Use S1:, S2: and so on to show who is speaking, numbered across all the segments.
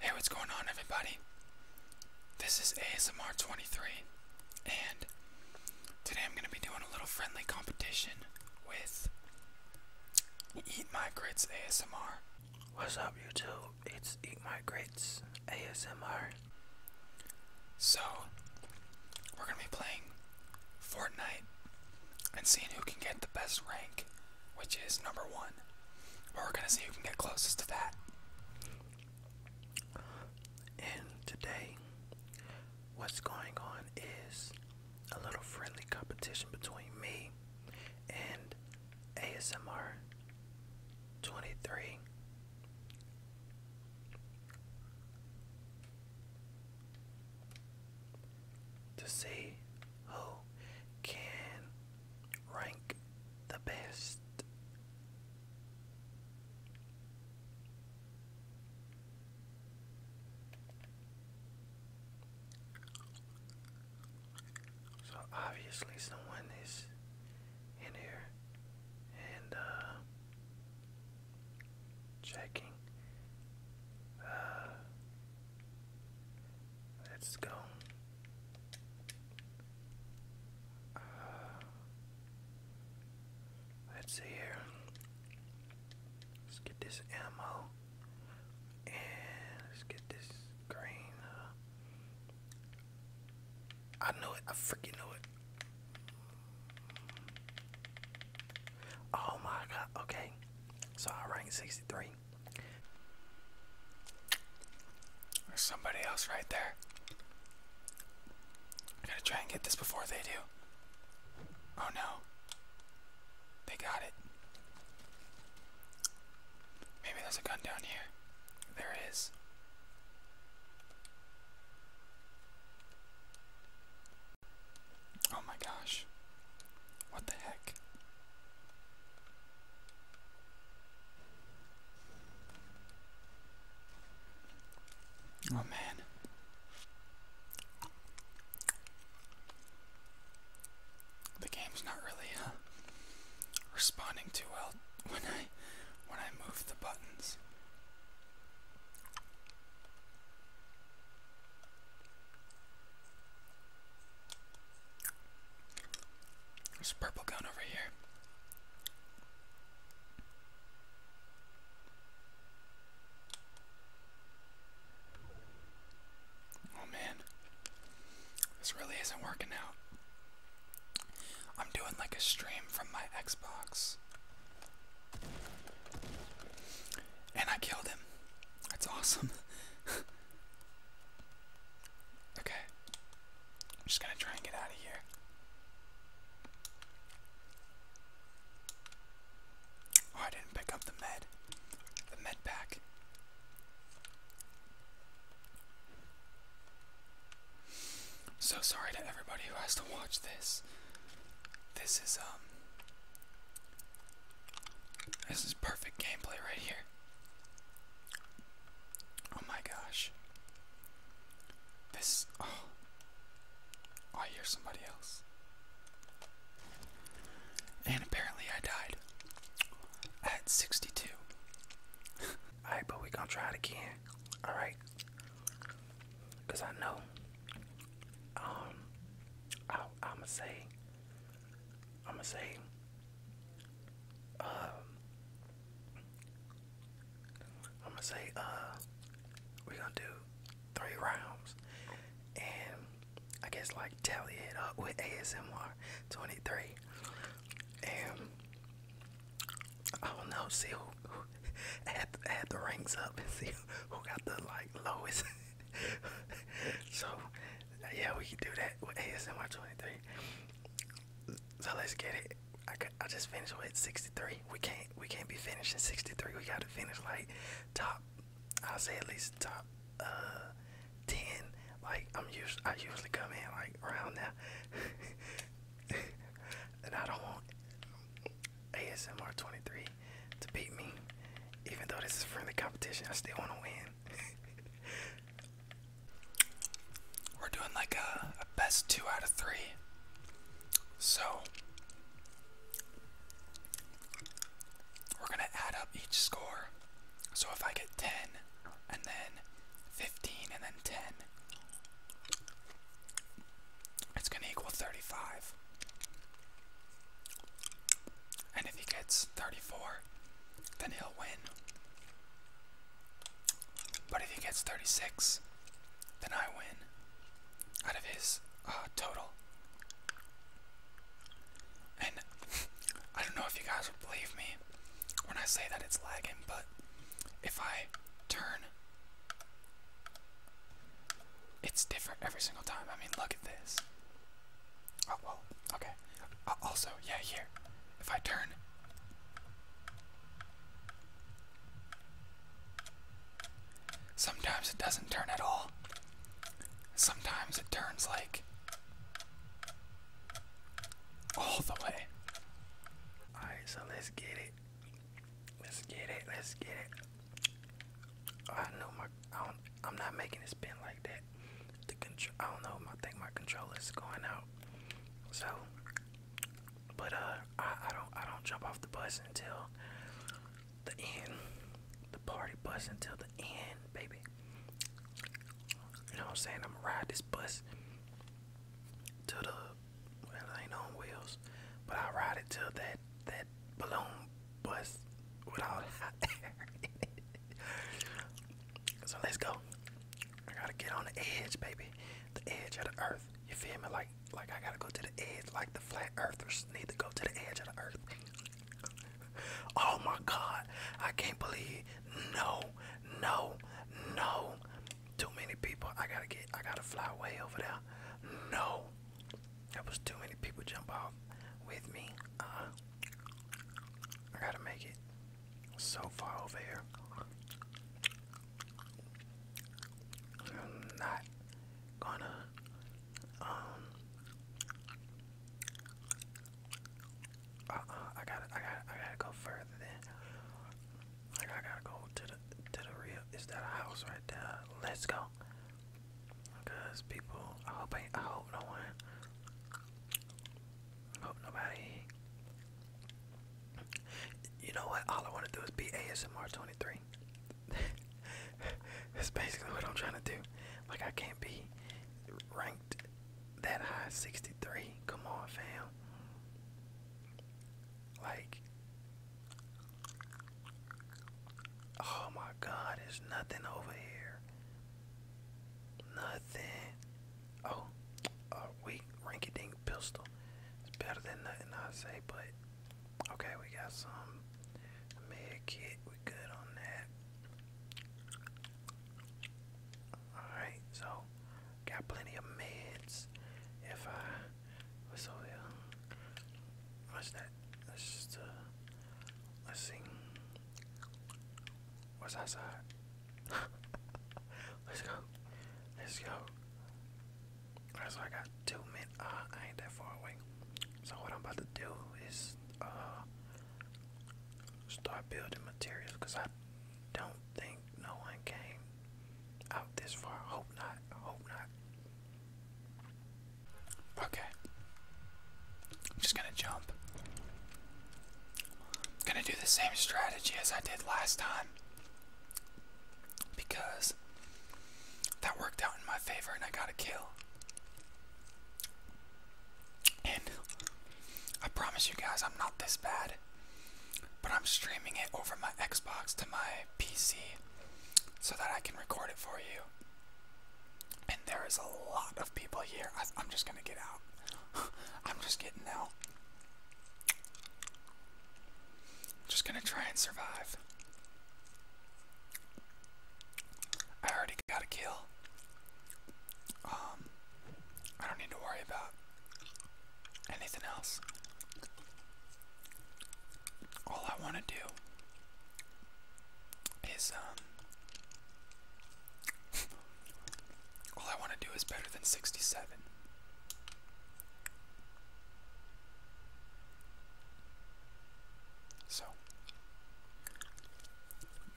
S1: Hey, what's going on, everybody? This is ASMR23, and today I'm going to be doing a little friendly competition with Eat My Grits ASMR. What's up, YouTube? It's Eat My Grits ASMR. So, we're going to be playing Fortnite and seeing who can get the best rank which is number one. But we're gonna see who can get closest to that.
S2: And today, what's going on is a little friendly competition between me and ASMR 23. To see who can Rank the best. So obviously someone is in here and uh, checking uh, Let's go. Uh, let's see here. Let's get this ammo. And let's get this green. Uh, I know it. I freaking know it. Oh my god. Okay. So I ranked 63.
S1: There's somebody else right there. I gotta try and get this before they do. Oh no. They got it. Maybe there's a gun down here. There is. Oh my gosh. What the heck? Oh man. The game's not really uh, responding too well when I when I move the buttons. There's a purple gun over here. Oh man, this really isn't working out. I'm doing like a stream from my Xbox. And I killed him. That's awesome. Okay. I'm just gonna try and get out of here. Oh, I didn't pick up the med. The med pack. So sorry to everybody who has to watch this. This is, um, this is perfect gameplay right here. Oh my gosh. This. Oh. oh I hear somebody else. And apparently I died. At 62. Alright, but we gonna try it
S2: again. Alright. Because I know. Um. I, I'ma say. I'm gonna say, um, I'm gonna say, uh, we're gonna do three rounds, and I guess like tally it up with ASMR 23, and I don't know, see who, who add, add the ranks up and see who got the like lowest. so yeah, we can do that with ASMR 23. So let's get it. I, I just finished with 63. We can't we can't be finishing 63. We got to finish like top. I'll say at least top uh, 10. Like I'm used I usually come in like around now. and I don't want ASMR 23 to beat me. Even though this is a friendly competition, I still want to
S1: win. We're doing like a, best two out of three. So, we're going to add up each score. So, if I get 10, and then 15, and then 10, it's going to equal 35. And if he gets 34, then he'll win. But if he gets 36, then I win out of his uh, total. And I don't know if you guys will believe me when I say that it's lagging, but if I turn, it's different every single time. I mean, look at this. Oh, well, okay. Uh, also, yeah, here. If I turn. Sometimes it doesn't turn at all. Sometimes it turns like. all the way. Alright,
S2: so let's get it. Let's get it. Let's get it. I know my. I'm not making it spin like that. I don't know. I think my is going out. So, but uh, I, I don't I don't jump off the bus until the end, the party bus until the end, baby. You know what I'm saying? I'm gonna ride this bus to the well, it ain't on wheels, but I ride it till that that balloon was without hot air So let's go. I gotta get on the edge, baby. The edge of the earth. You feel me? Like like I gotta go to the edge, like the flat earthers need to go to the edge of the earth. oh my god. I can't believe no, no, no. Too many people. I gotta get I gotta fly way over there. No. That was too many people jump off with me. Uh I gotta make it so far over here. I'm not gonna um uh, uh I gotta I gotta I gotta go further then like I gotta go to the to the real is that a house right there? Let's go. Because people, I hope I, hope no one, hope nobody. You know what? All I want to do is be ASMR 23. That's basically what I'm trying to do. Like I can't be ranked that high, 63. Come on, fam. Like, oh my God, there's nothing over here. Nothing. Oh, a uh, weak rinky dink pistol. It's better than nothing, I say, but okay, we got some med kit. We good on that. Alright, so got plenty of meds. If I what's over there? What's that? let's see. What's outside? Let's go. Let's go. Alright, so I got two minutes. Uh, I ain't that far away. So what I'm about to do is uh, start building materials because I don't think no one came out this far. Hope not. Hope not.
S1: Okay. I'm just gonna jump. I'm gonna do the same strategy as I did last time. Because that worked out in my favor and I got a kill. And I promise you guys, I'm not this bad. But I'm streaming it over my Xbox to my PC so that I can record it for you. And there is a lot of people here. I, I'm just gonna get out. I'm just getting out. Just gonna try and survive. I already got a kill. Um, I don't need to worry about anything else. All I want to do is um all I want to do is better than 67. So,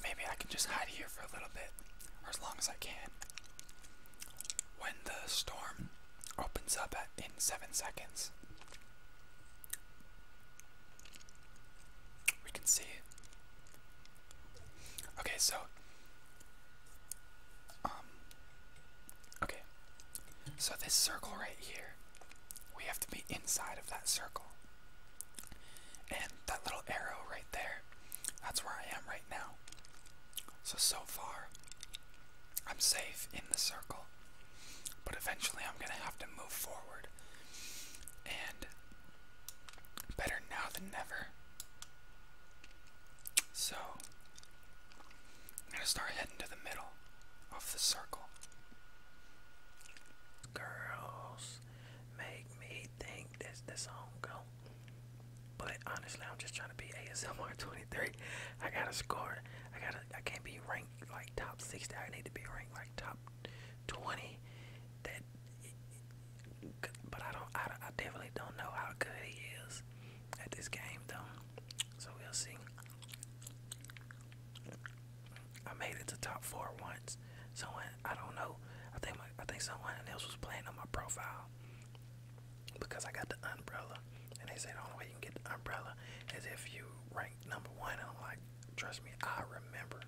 S1: maybe I can just hide here for a little bit, or as long as I can. When the storm opens up in 7 seconds, we can see Okay, so um okay. So this circle right here, we have to be inside of that circle. And that little arrow right there, that's where I am right now. So so far I'm safe in the circle. But eventually I'm going to have to move forward. And Better now than never. So, I'm gonna start heading to the middle of the circle. Girls,
S2: make me think that's the song go. But honestly, I'm just trying to be ASMR 23. I gotta score. I gotta. I can't be ranked like top 60. I need to be ranked like top 20 that but I don't I, I definitely don't know how good he is at this game though so we'll see I made it to top four once So I don't know I think I think someone else was playing on my profile because I got the umbrella and they said the only way you can get the umbrella is if you rank number one Trust me, I remember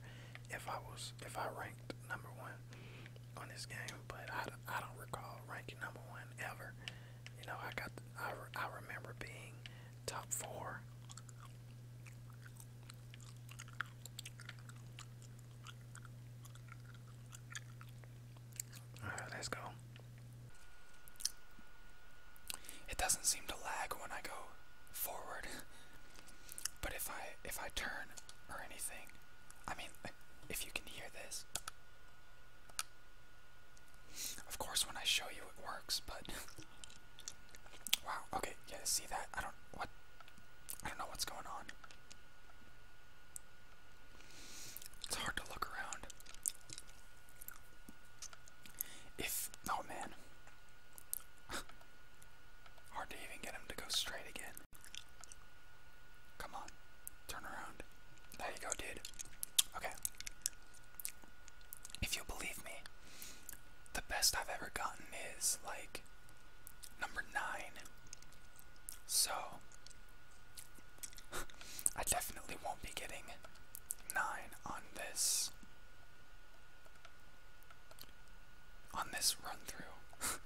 S2: if I was if I ranked number one on this game, but I, I don't recall ranking number one ever. You know, I got I I remember being top four.
S1: All right, let's go. It doesn't seem to lag when I go forward. But if I if I turn or anything, I mean, if you can hear this. Of course, when I show you, it works. But wow, okay, yeah, see that? I don't what I don't know what's going on. It's hard to look around. If oh man, Hard to even get him to go straight again. Come on. Turn around. There you go, dude. Okay. If you believe me, the best I've ever gotten is like number nine. So, I definitely won't be getting nine on this on this run through.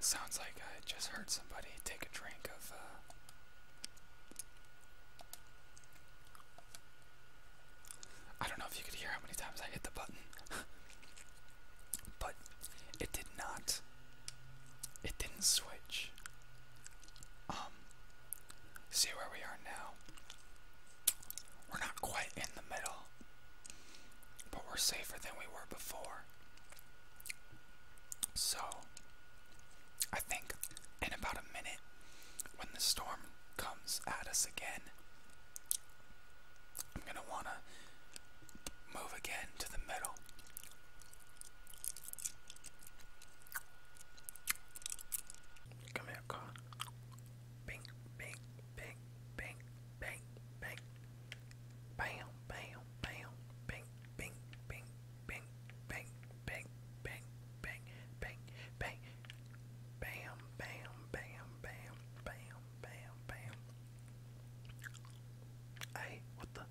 S1: Sounds like I just heard somebody take a drink of uh, I don't know if you could hear how many times I hit the button, but it did not it didn't switch. Um, see where we are now. We're not quite in the middle, but we're safer than we were before. So, I think in about a minute, when the storm comes at us again, I'm gonna wanna move again to the middle. Come here, car. Bing, bing, bing, bing, bing, bing. Bam, bam, bam, bing, bing, bing, bing, bing, bing, bing, bing, bing, Bam, bam,
S2: bam, bam, bam, bam, bam. Hey, what the?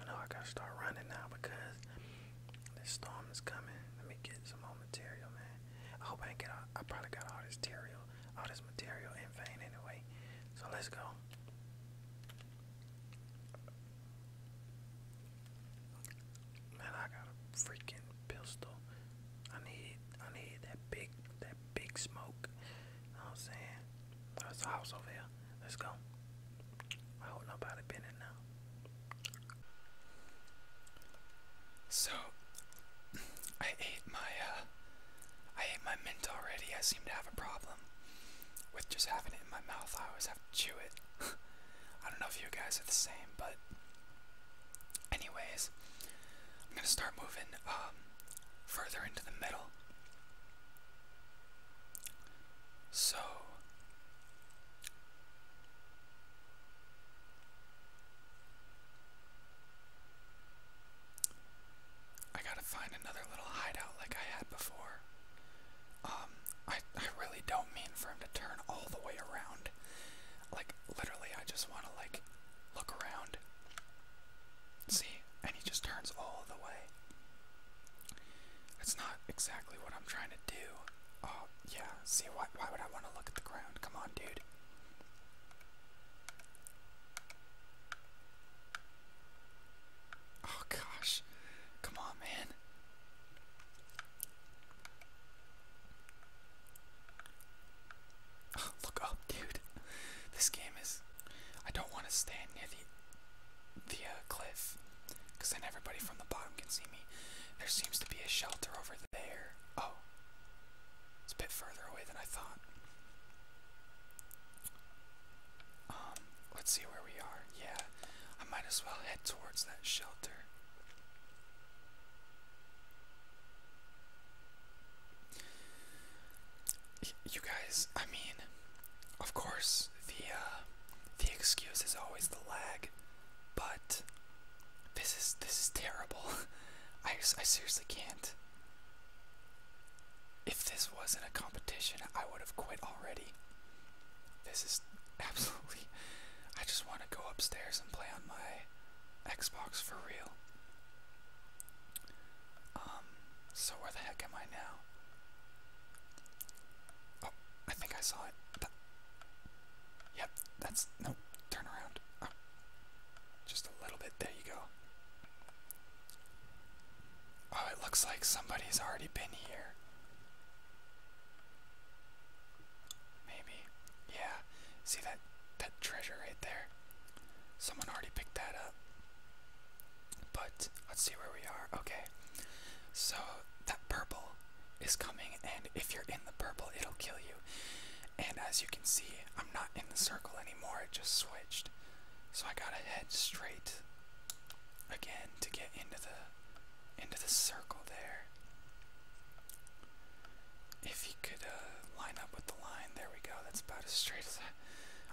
S2: I know I gotta start running now because this storm is coming. Let me get some more material, man. I hope I can get all, I probably got all this material, all this material in vain anyway. So let's go. Man, I got a freaking pistol. I need I need that big that big smoke. I'm saying? That's the house over here. Let's go. I hope nobody been in now.
S1: So I ate my uh, I ate my mint already. I seem to have a problem with just having it in my mouth. I always have to chew it. I don't know if you guys are the same, but anyways, I'm gonna start moving um further into the middle. So I gotta find another little hideout like I had before. Um, I, I really don't mean for him to turn all the way around. Like, literally, I just wanna, like, look around. See? And he just turns all the way. That's not exactly what I'm trying to do. Oh, yeah. See, why, why would I want to look at the ground? Come on, dude. Oh, gosh. Come on, man. Oh, look up, dude. This game is I don't want to stand near the the uh, cliff, because then everybody from the bottom can see me. There seems to be a shelter over there. Oh, it's a bit further away than I thought. Um, let's see where we are. Yeah, I might as well head towards that shelter you guys, I mean, of course, the uh, the excuse is always the lag, but this is this is terrible. I I seriously can't. If this wasn't a competition, I would have quit already. This is absolutely. I just want to go upstairs and play on my Xbox for real. Um, so where the heck am I now? Oh, I think I saw it. yep, that's no. Turn around. Oh, just a little bit. There you go. Oh, it looks like somebody's already been here. Maybe. Yeah. See that that treasure right there? Someone already picked that up. But let's see where we are. Okay, so that purple is coming, and if you're in the purple, it'll kill you. And as you can see, I'm not in the circle anymore, it just switched. So I gotta head straight again to get into the into the circle there. If you could uh, line up with the line, there we go. That's about as straight as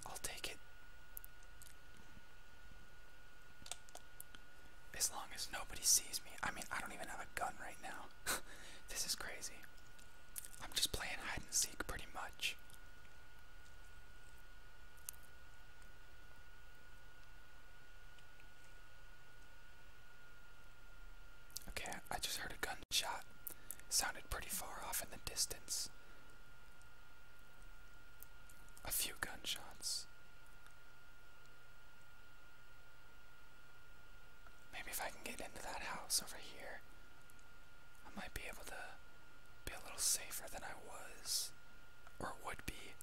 S1: I'll take it. As long as nobody sees me. I mean, I don't even have a gun right now. this is crazy. I'm just playing hide and seek pretty much. Okay, I just heard a gunshot. Sounded pretty far off in the distance. A few gunshots. Maybe if I can get into that house over here, I might be able to be a little safer than I was or would be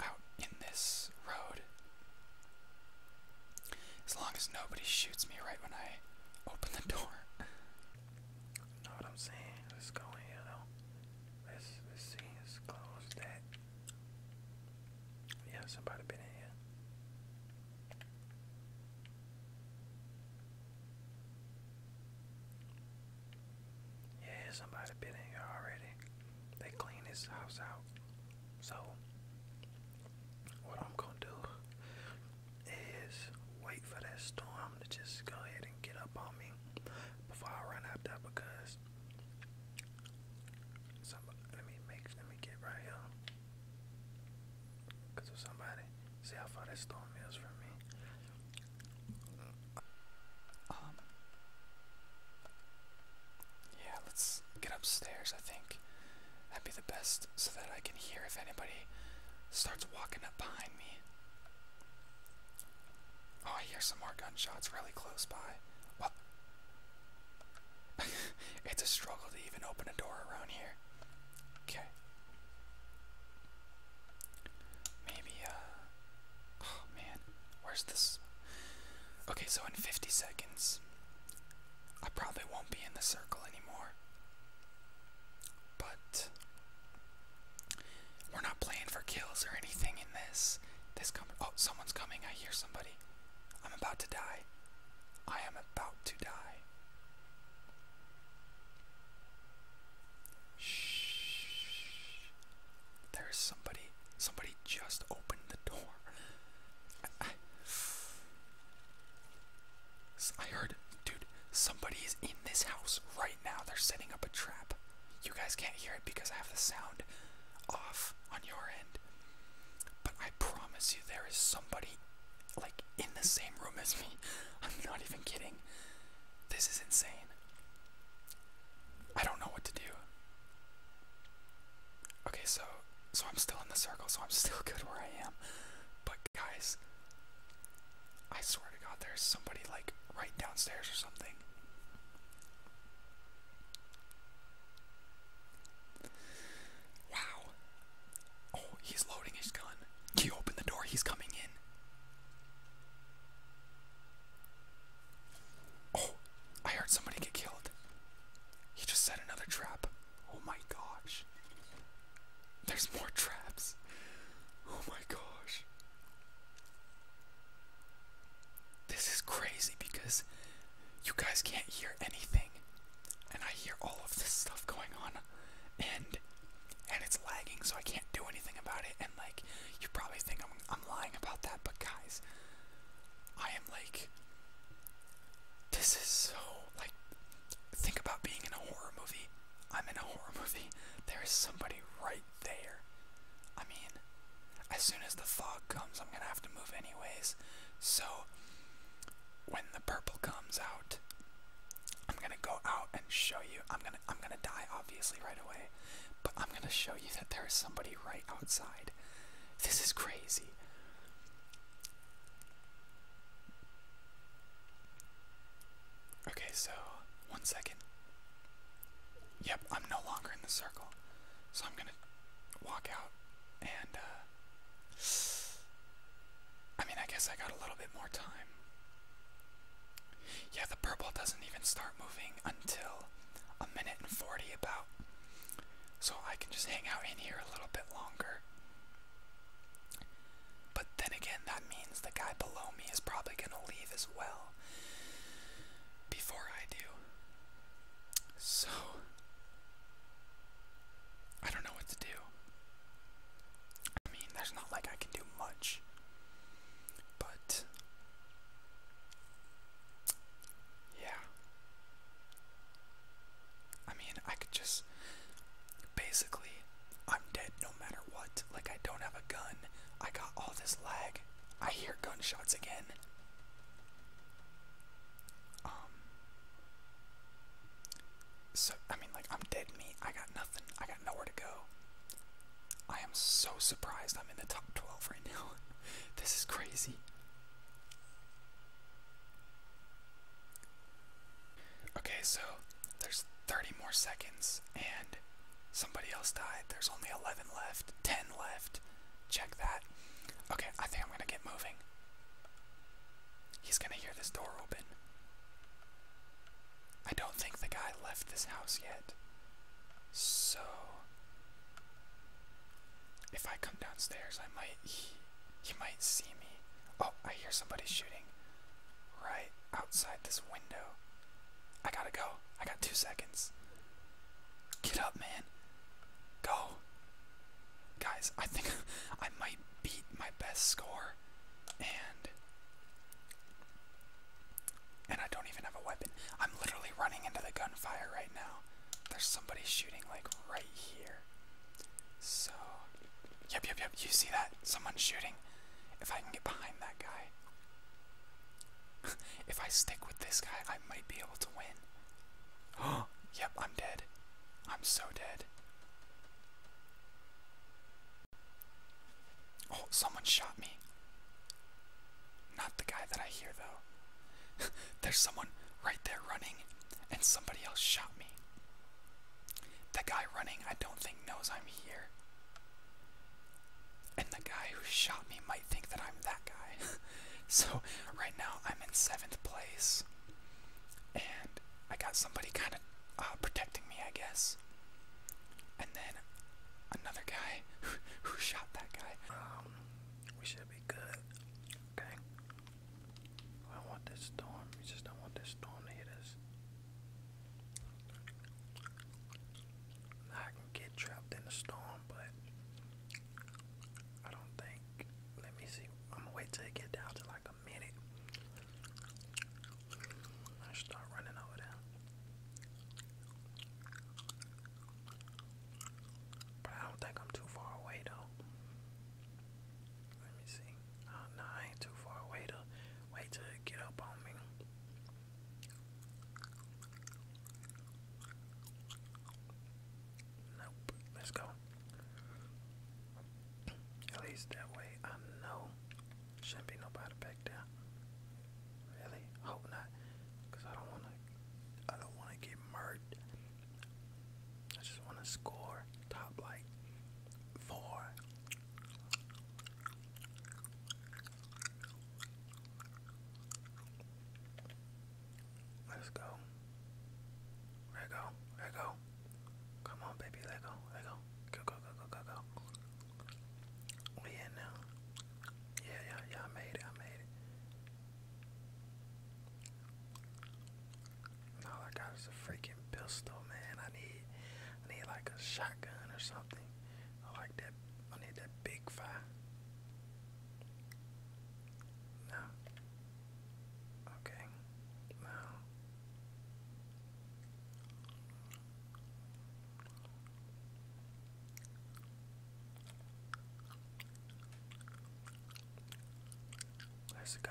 S1: out in this road. As long as nobody shoots me right when I open the door. Know what I'm saying? Let's go in here though.
S2: Let's let's see. Let's close that. Yeah, somebody been in here. Yeah, somebody been in here already. They clean this house out. So what I'm gonna do is wait for that storm to just go ahead and get up on me before I run out because let me make let me get right here because of somebody see how far that storm
S1: is from me um yeah let's get upstairs I think that'd be the best so that I can hear if anybody starts walking up behind me Oh, I hear some more gunshots really close by. What? it's a struggle to even open a door around here. Okay. Maybe, uh. Oh man, where's this? Okay, so in 50 seconds, I probably won't be in the circle anymore. But we're not playing for kills or anything in this. This com oh, someone's coming. I hear somebody. I'm about to die. I am about to die. Shh. There is somebody. Somebody just opened the door. I, I, I dude, somebody is in this house right now. They're setting up a trap. You guys can't hear it because I have the sound off on your end. But I promise you, there is somebody like in the same room as me. I'm not even kidding. This is insane. I don't know what to do. Okay, so so I'm still in the circle, so I'm still good where I am. But guys, I swear to God, there's somebody like right downstairs or something. Wow. Oh, he's loading his gun. You open the door, he's coming in. Oh, I heard somebody get killed. He just set another trap. Oh my gosh. There's more traps. Oh my gosh. This is crazy because you guys can't hear anything. And I hear all of this stuff going on and and it's lagging so I can't do anything about it and like you probably think I'm I'm lying about that but guys I am like this is so like think about being in a horror movie. I'm in a horror movie. There is somebody right there. I mean, as soon as the fog comes, I'm gonna have to move anyways. So, when the purple comes out, I'm gonna go out and show you. I'm gonna I'm gonna die obviously right away, but I'm gonna show you that there is somebody right outside. This is crazy. Okay, so one second. Yep, I'm no longer in the circle. So I'm gonna walk out and, uh. I mean, I guess I got a little bit more time. Yeah, the purple doesn't even start moving until a minute and 40 about. So I can just hang out in here a little bit longer. But then again, that means the guy below me is probably going to leave as well before I do. So, I don't know what to do. I mean, there's not like I can do much, but yeah. I mean, I could just basically, I'm dead no matter what. Like, I don't have a gun. I got all this lag. I hear gunshots again. Um. So, I mean, like, I'm dead meat. I got nothing. I got nowhere to go. I am so surprised I'm in the top 12 right now. this is crazy. Okay, so there's 30 more seconds, and somebody else died. There's only 11 left, 10 left. Check that. Okay, I think I'm gonna get moving. He's gonna hear this door open. I don't think the guy left this house yet. So. If I come downstairs, I might. He, might see me. Oh, I hear somebody shooting right outside this window. I gotta go. I got two seconds. Get up, man. Go. Guys, I think I might beat my best score. And. And I don't even have a weapon. I'm literally running into the gunfire right now. There's somebody shooting, like, right here. So. Yep, yep, yep. You see that? Someone's shooting. If I can get behind that guy. if I stick with this guy, I might be able to win. Oh, yep, I'm dead. I'm so dead. Oh, someone shot me. Not the guy that I hear, though. There's someone right there running, and somebody else shot me. The guy running, I don't think, knows I'm here. And the guy who shot me might think that I'm that guy. so, right now, I'm in seventh place. And I got somebody kind of uh, protecting me, I guess. And then another guy who, shot that guy. Um, we should be good.
S2: Okay. I want this storm. We just don't want this storm to hit us. I can get trapped in the storm, but I don't think. Let me see. I'm gonna wait till it get down to like a minute. I start running over there. But I don't think I'm too far away though. Let me see. Uh, no, I ain't too far away to Wait till get up on me. Nope. Let's go. At least that way I know. Shouldn't be nobody back there. Really? Hope not. Cause I don't wanna I don't wanna get murdered. I just wanna score top light four, let's go, let go, let go, come on baby, let go, let go, go, go, go, go, go, go, we in now, yeah, yeah, yeah, I made it, I made it. And all I got is a freaking pistol, man. I need, I need like a shotgun or something. I like that. I need that big fire. No. Okay. No. Let's go.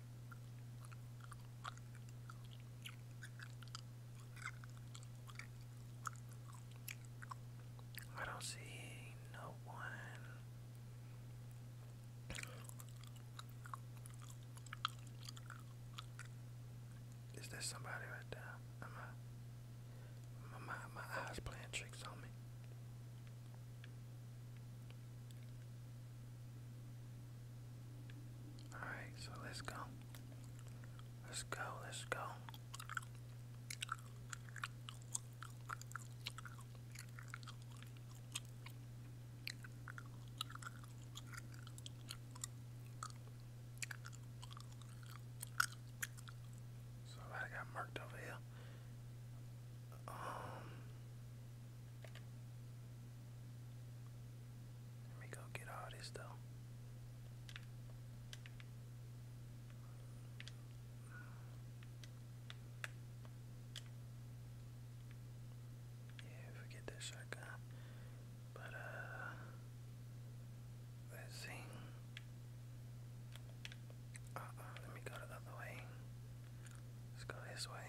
S2: I don't see no one. Is there somebody right there? my, my, my eyes playing tricks on me. Alright, so let's go. Let's go, let's go. Somebody got marked over here. Um let me go get all this though. Yeah, forget that shotgun. But uh let's see. Uh oh, let me go the other way. Let's go this way.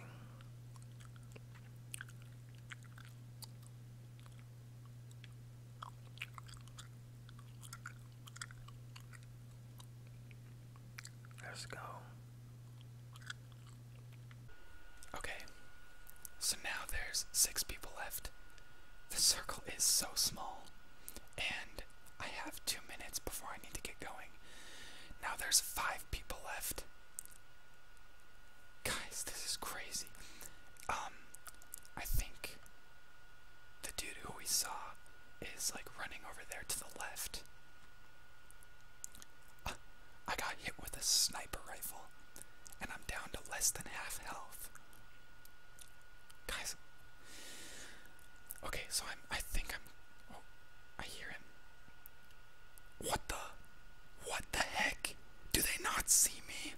S2: Let's go.
S1: Okay, so now there's six people left. The circle is so small, and I have two minutes before I need to get going. Now there's five people left. Guys, this is crazy. Um, I think the dude who we saw is like running over there to the left. Uh, I got hit with a sniper rifle, and I'm down to less than half health. Guys, okay, so I'm. I think I'm. Oh, I hear him. What the? What the heck? Do they not see me?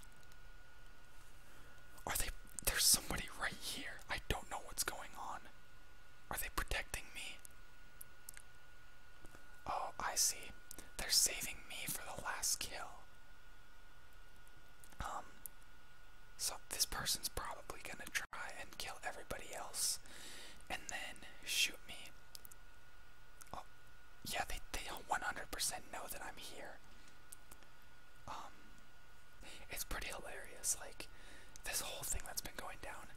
S1: Are they. There's somebody right here. I don't know what's going on. Are they protecting me? Oh, I see. They're saving me for the last kill. Um. So this person's probably gonna try and kill everybody else and then shoot me Oh, yeah, they they 100% know that I'm here. Um, it's pretty hilarious. Like this whole thing that's been going down.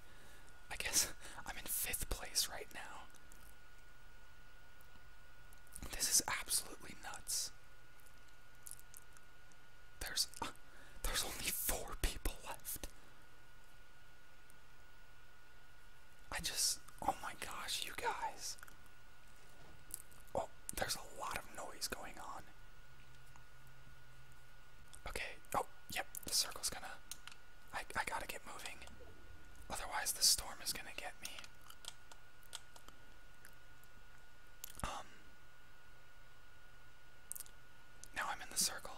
S1: I guess I'm in fifth place right now. This is absolutely nuts. There's there's only four people left. I just, oh my gosh, you guys. Oh, there's a lot of noise going on. Okay, oh, yep, the circle's gonna, I, I gotta get moving. Otherwise, the storm is gonna get me. Um, now I'm in the circle.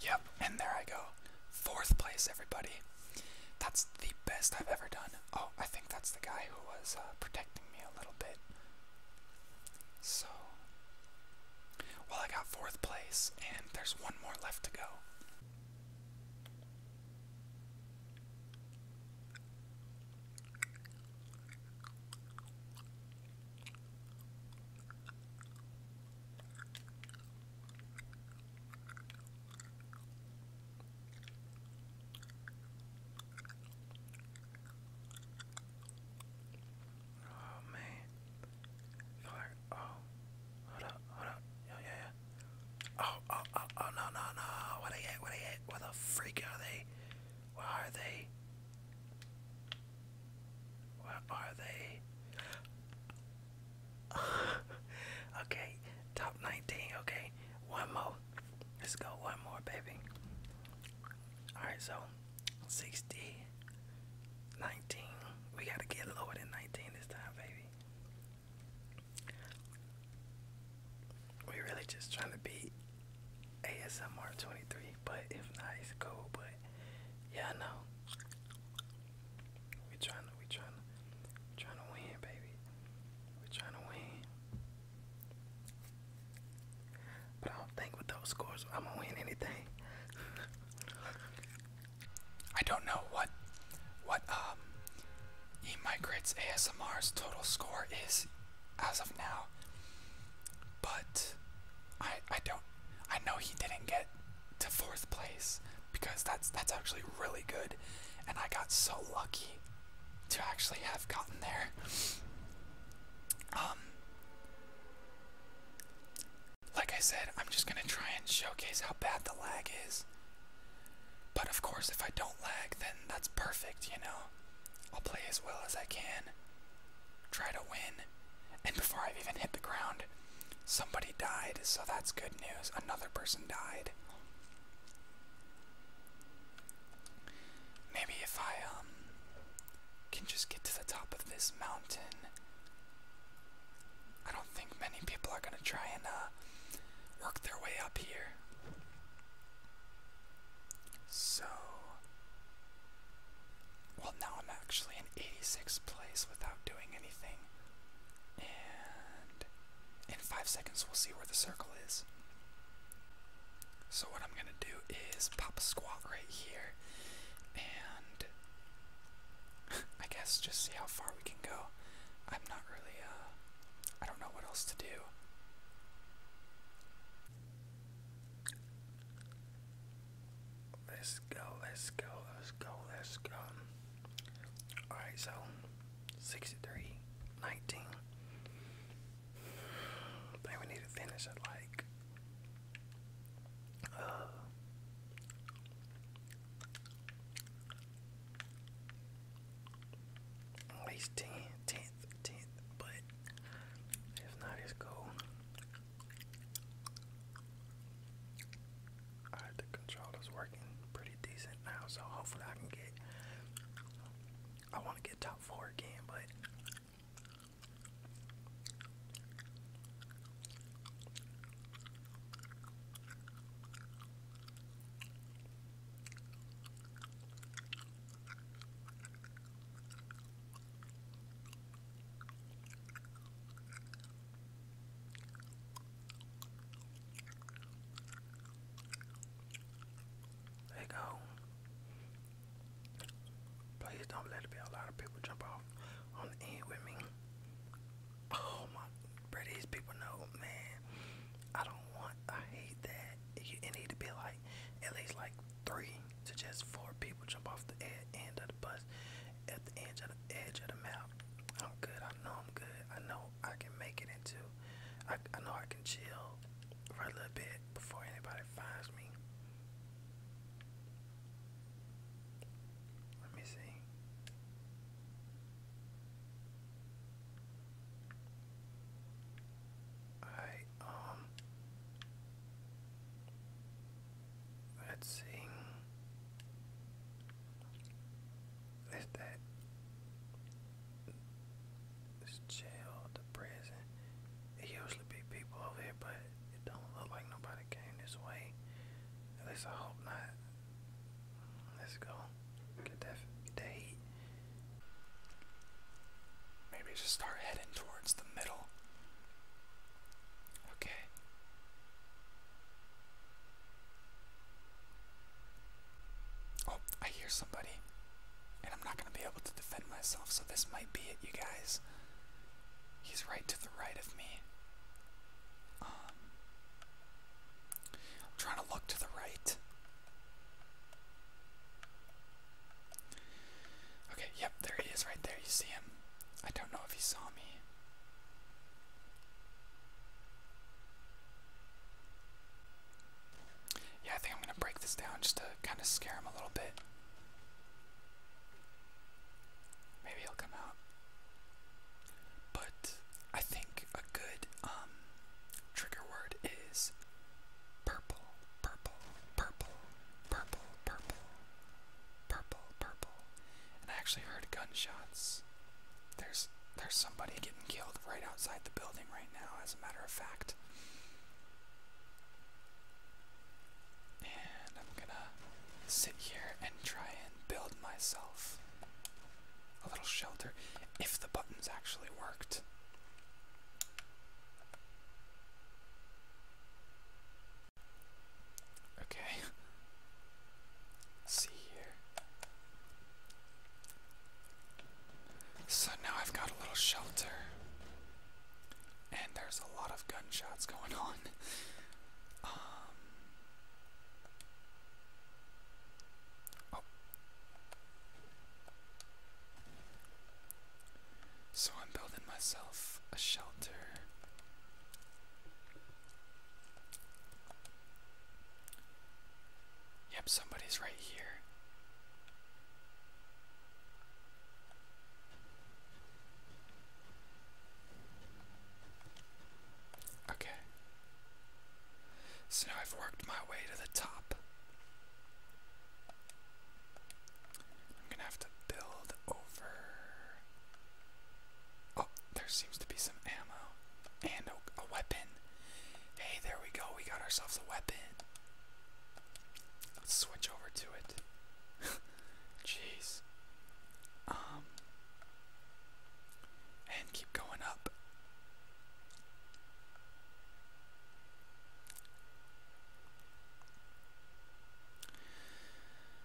S1: Yep, and there I go. Fourth place, everybody. That's the best I've ever done. Oh, I think that's the guy who was uh, protecting me a little bit. So, well, I got fourth place, and there's one more left to go.
S2: Oh man. Oh. Hold up, hold up. Yeah, yeah, yeah. Oh, oh, oh, oh, no, no, no. Where they at? Where they at? Where the freak are they? Where are they? Where are they? okay, top 19. Okay, one more. Let's go, one more, baby. Alright, so 60, We gotta get lower than 19 this time, baby. We're really just trying to beat ASMR 23, but if not, it's cool. But yeah, I know. We trying to, we trying to, trying to win, baby. We are trying to win. But I don't think with those scores I'm gonna win anything.
S1: I don't know what what um e ASMR's total score is as of now. But I I don't I know he didn't get to fourth place because that's that's actually really good and I got so lucky to actually have gotten there. Um like I said, I'm just gonna try and showcase how bad the lag is. But of course if I don't lag then that's perfect, you know. I'll play as well as I can try to win. And before I've even hit the ground, somebody died, so that's good news. Another person died. Maybe if I um can just get to the top of this mountain. I don't think many people are gonna try and uh, work their way up here. So well, now I'm actually in 86th place without doing anything. And in 5 seconds, we'll see where the circle is. So, what I'm gonna do is pop a squat right here and I guess just see how far we can go. I'm not really, uh, I don't know what else to do.
S2: Let's go, let's go, let's go, let's go. Alright, so 63, 19. I think we need to finish at like uh
S1: at least 10, 10th, 10th, but if not, it's cool. Alright, the controller's
S2: working pretty decent now, so hopefully I can get. I want to get top four again, but. There you go. Please don't let it be a lot of people jump off on the end with me. Oh my, bro, people know, man. I don't want, I hate that. It need to be like, at least like three to just four people jump off the end of the bus at the edge of the edge of the map. I'm good. I know I'm good. I know I can make it into. I I know I can chill for a little bit before anybody finds me. Let me see. Alright, um let's see. Is that this the prison? It usually be people over here, but
S1: it don't look like nobody came this way. At least I hope not. Let's go. Get that, get Maybe just start heading towards the middle. Okay. Oh, I hear somebody. And I'm not going to be able to defend myself, so this might be it, you guys. He's right to the right of me. Um, I'm trying to look to the right. Okay, yep, there he is right there. You see him? I don't know if he saw me. Yeah, I think I'm going to break this down just to kind of scare him a little bit. Maybe he'll come out. But I think a good um, trigger word is purple, purple, purple, purple, purple purple, purple. And I actually heard gunshots. There's there's somebody getting killed right outside the building right now, as a matter of fact. And I'm gonna sit here and try and build myself a little shelter if the buttons actually worked. Okay. See here. So now I've got a little shelter. And there's a lot of gunshots going on. Um. Oh. So I'm building myself a shelter Yep, somebody's right here. Okay. So I've worked my way to the top. I'm gonna have to build over. Oh, there seems to be some ammo and a, weapon. Hey, there we go. We got ourselves a weapon. Let's switch over to it. Jeez. Um. And keep going up.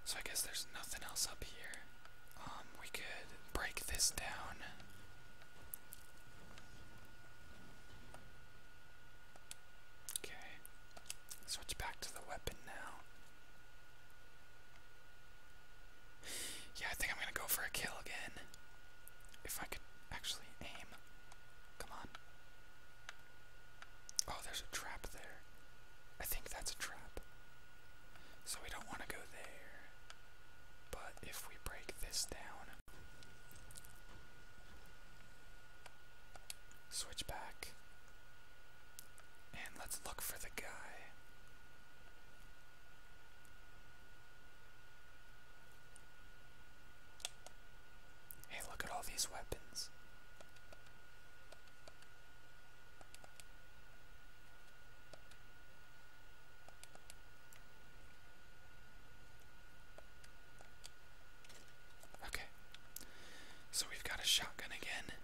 S1: So I guess there's nothing else up here. Um, we could break this down. Okay. Switch back to the weapon now. Yeah, I think I'm gonna go for a kill again. If I could actually aim. Come on. Oh, there's a trap there. I think that's a trap. So we don't want to go there. But if we break this down, switch back, and let's look for the guy. Hey, look at all these weapons. Okay. So we've got a shotgun again.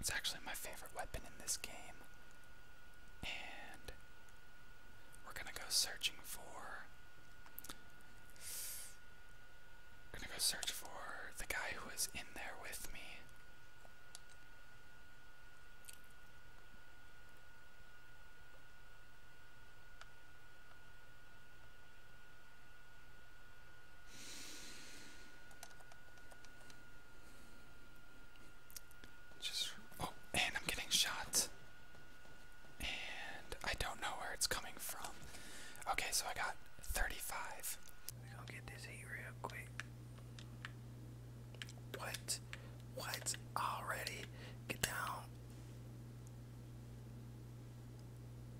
S1: It's actually my favorite weapon in this game. And we're going to go searching for I'm gonna go search for the guy who was in there with me. Just oh, and I'm getting shot. And I don't know where it's coming from. Okay, so I got 35. We're gonna get this heat real quick. What? What? Already? Get down.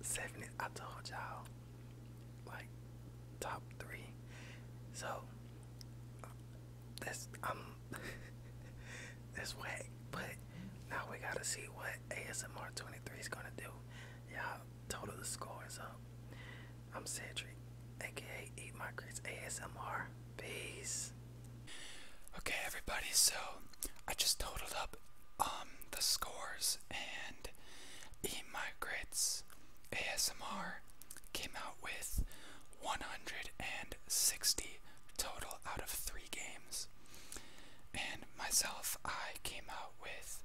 S2: 70. I told y'all. Like, top three. So, that's, i that's whack. But now we gotta see what ASMR 23 is gonna do. Y'all
S1: total the scores up. I'm Cedric, aka E Migrates ASMR. Peace. Okay, everybody. So I just totaled up um, the scores and E Migrates ASMR came out with 160 total out of three games. And myself, I came out with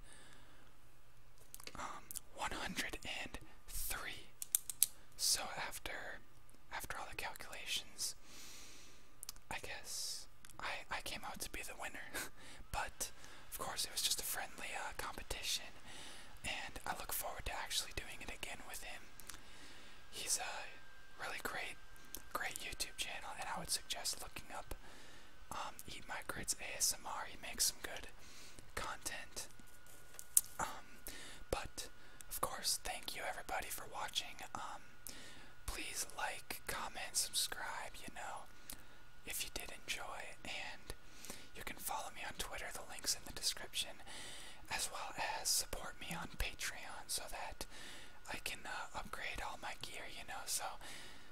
S1: um, 103. So after after all the calculations, I guess I I came out to be the winner. but of course, it was just a friendly uh, competition, and I look forward to actually doing it again with him. He's a really great great YouTube channel, and I would suggest looking up um, Eat My Grits ASMR. He makes some good content. Um, but of course, thank you everybody for watching. Um, please like, comment, subscribe. You know, if you did enjoy, and you can follow me on Twitter. The links in the description, as well as support me on Patreon, so that I can uh, upgrade all my gear, you know, so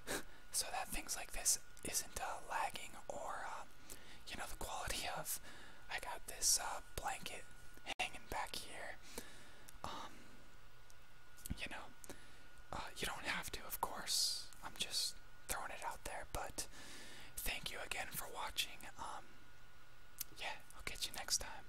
S1: so that things like this isn't uh, lagging or uh, you know the quality of. I got this blanket hanging back here. Um, you know, you don't have to, of course. I'm just throwing it out there, but thank you again for watching. Um, yeah, I'll catch you next time.